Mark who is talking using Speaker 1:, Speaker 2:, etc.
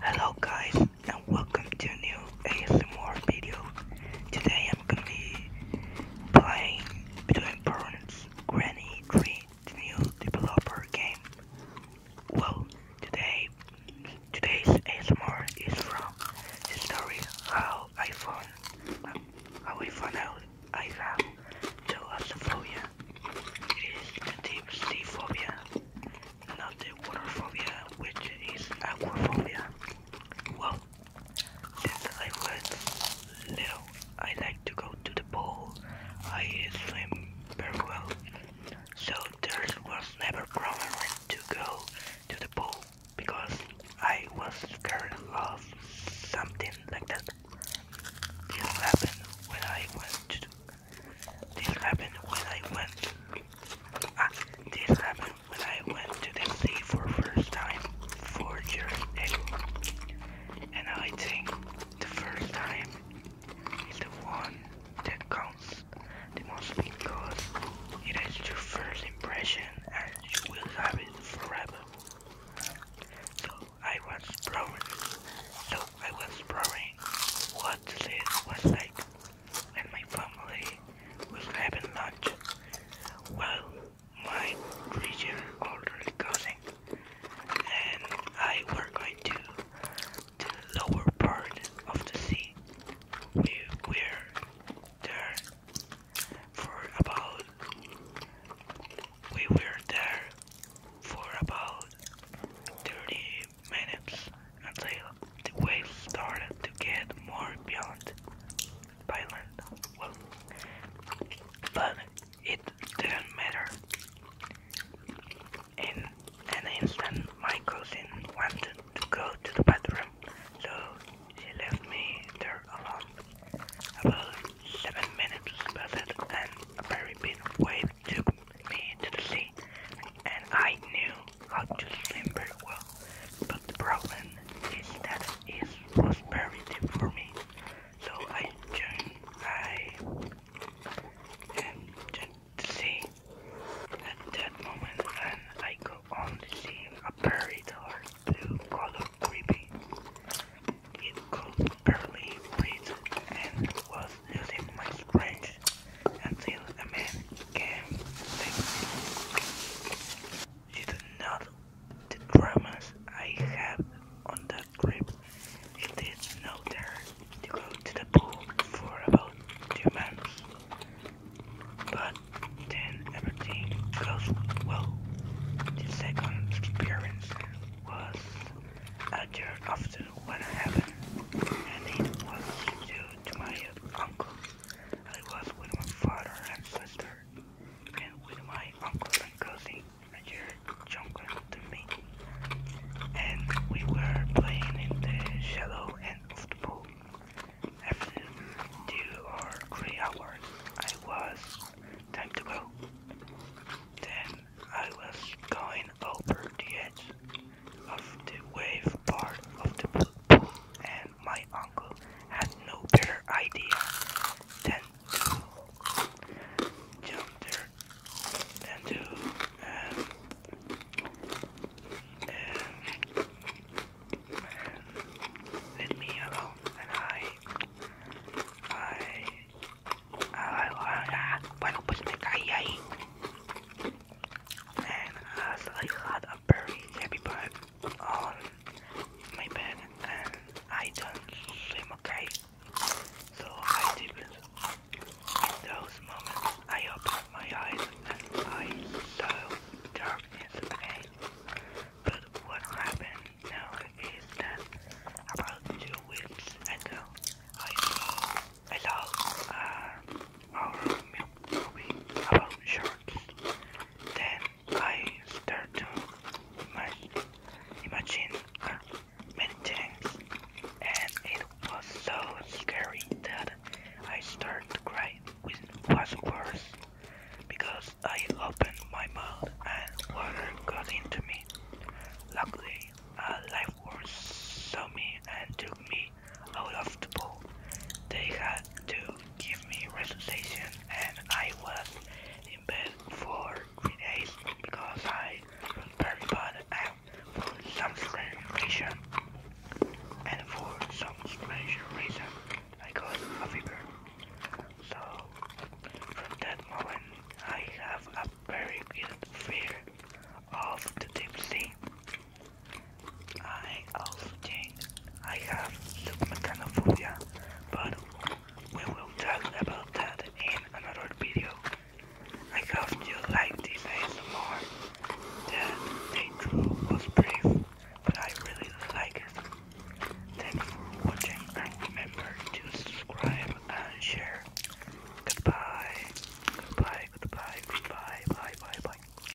Speaker 1: Hello guys and welcome to new ASMR video. Today I'm gonna be playing between parents Granny 3 new developer game. Well today today's ASMR is from the story how I found I will find out I have phobia. It is the deep sea phobia, not the water phobia, which is aquaphobia. Well, since I was little, I like to go to the pool. I swim very well, so there was never problem to go to the pool because I was scared of something like that. This happened when I went. This happened when I went. Ah, this happened when I went to the sea for first time four years and I think the first time is the one that counts songs, the most because it is your first impression and you will have it forever. So I was blowing, so I was blowing what it was like when my family was having lunch. Well, my three-year-old and I were going to the lower part of the sea. We were there for about we were there for about 30 minutes until the waves started to get more violent. violent. Well, but it didn't matter. In an instant, my cousin wanted to go to the bathroom, so she left me there alone. About seven minutes passed, and a very big wave took me to the sea, and I knew how to swim very well. But the problem is that it was very deep for me, so I joined. I um, joined see at that moment and I could only see a very dark blue color creeping. It could barely breathe and was losing my strength until a man came to She not the dramas I had on the a grip. It is no dare to go to the pool for about two months. But then everything goes well. The second experience was a year after what happened, and it was due to my uncle. I was with my father and sister, and with my uncle and cousin you're younger than me. And we were playing in the shallow end of the pool. After two or three hours, I was time to go. Then I was going
Speaker 2: over the edge of the wave part of the pool, and my uncle had no better idea than jumped there and to um, let me alone and I I I, bueno pues me caí ahí and I suddenly had a very heavy bag on my bed
Speaker 3: and I don't swim okay so I deep those moments I open my eyes and I saw again. But what happened now is that about two weeks ago I saw our uh, movie about sharks. Then I start to imagine uh, many things, and it was so
Speaker 4: scary that I started to cry, It was worse because I opened my mouth and water got into me. Luckily, a uh, lifeguard saw me and took me out of the pool. They had to give me relaxation and I was in bed for three days because I was very bad and for some strange reason and for some strange reason I got a fever. So from that moment I have a very good fear of the deep sea. I also think I have submechanophobia, but we will talk about that in another video. I hope you liked this ASMR. That they drew was brief, but I really like it. Thanks for watching and remember to subscribe and share. Goodbye. Goodbye, goodbye, goodbye, bye, bye, bye.